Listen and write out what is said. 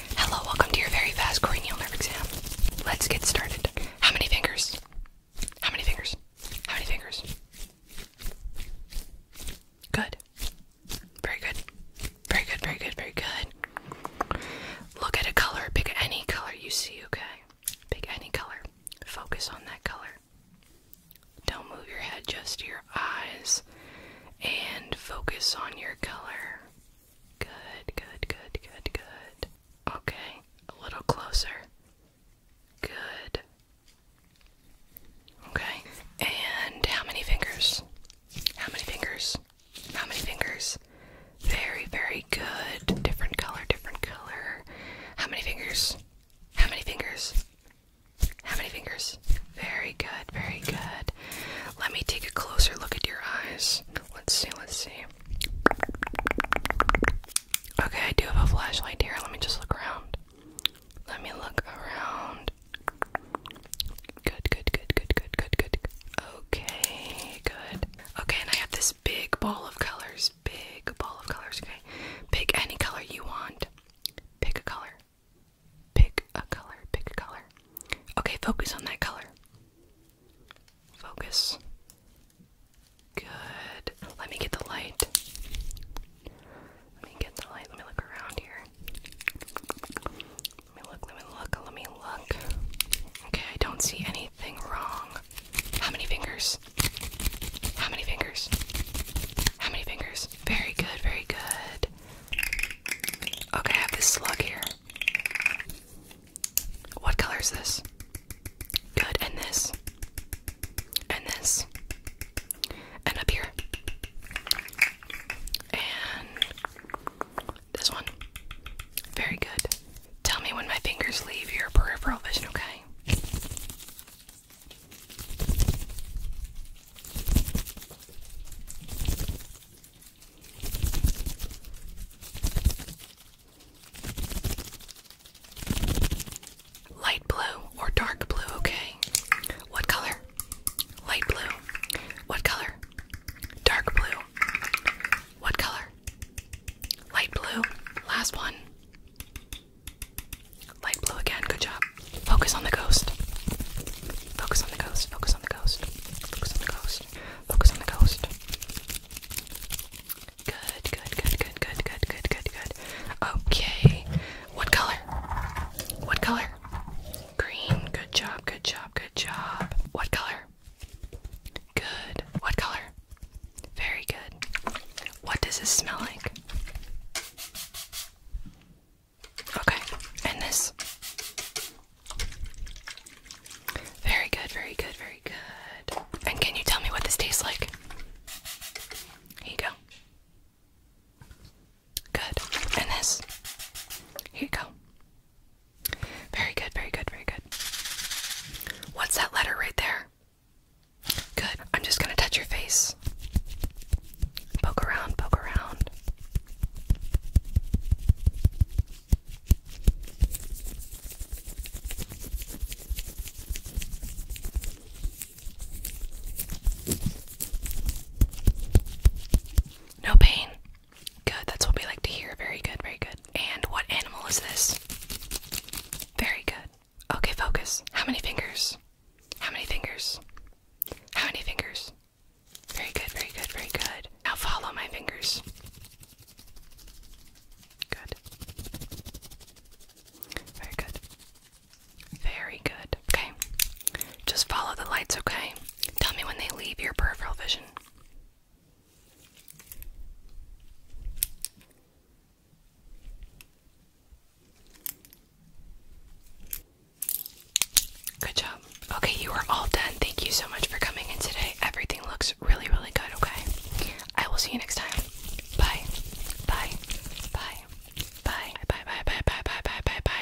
Hello, welcome to your very fast cranial nerve exam. Let's get started. How many fingers? How many fingers? How many fingers? Good. Very good. Very good, very good, very good. Look at a color. Pick any color you see, okay? Pick any color. Focus on that color. Don't move your head, just your eyes and focus on your color. Good, good, good, good, good. Okay, a little closer. Good. Okay, and how many fingers? How many fingers? How many fingers? Very, very good. Different color, different color. How many fingers? How many fingers? How many fingers? Very good, very good. Let me take a closer look at your eyes. Let's see, let's see. Okay, I do have a flashlight here. Let me just look around. Let me look around. Good, good, good, good, good, good, good. Okay, good. Okay, and I have this big ball of colors. Big ball of colors, okay? Pick any color you want. Pick a color. Pick a color, pick a color. Okay, focus on that color. Focus. Good. Let me get the light. Let me get the light. Let me look around here. Let me look, let me look, let me look. Okay, I don't see anything wrong. How many fingers? How many fingers? How many fingers? Very good, very good. Okay, I have this slug here. What color is this? Good, and this. And this. And up here. And this one. Very good. Tell me when my fingers leave your peripheral vision, okay? Light blue or dark blue, okay? What color? Light blue. What color? Dark blue. What color? Light blue. Last one. Light blue again, good job. Focus on the ghost. Focus on the ghost, focus on the ghost. Focus on the ghost. Focus on the ghost. Good, good, good, good, good, good, good, good, good. Okay. What color? What color? Green. Good job, good job, good job. What color? Good. What color? Very good. What does this smell like? Okay. And this? Very good, very good, very good. And can you tell me what this tastes like? Here you go. Good. And this? Here you go. Very good, very good, very good. What's that letter right there? Good. I'm just going to touch your face. Poke around, poke around. No pain. Good, that's what we like to hear. Very good, very good. And what animal is this? Very good. Okay, focus. How many fingers? How many fingers? How many fingers? Very good, very good, very good. Now follow my fingers. Good. Very good. Very good. Okay. Just follow the lights, okay? Tell me when they leave your peripheral vision. Good job. Okay, you are all done. Thank you so much for coming in today. Everything looks really, really good, okay? I will see you next time. Bye. Bye. Bye. Bye. Bye. Bye. Bye. Bye. Bye. Bye. Bye. Bye.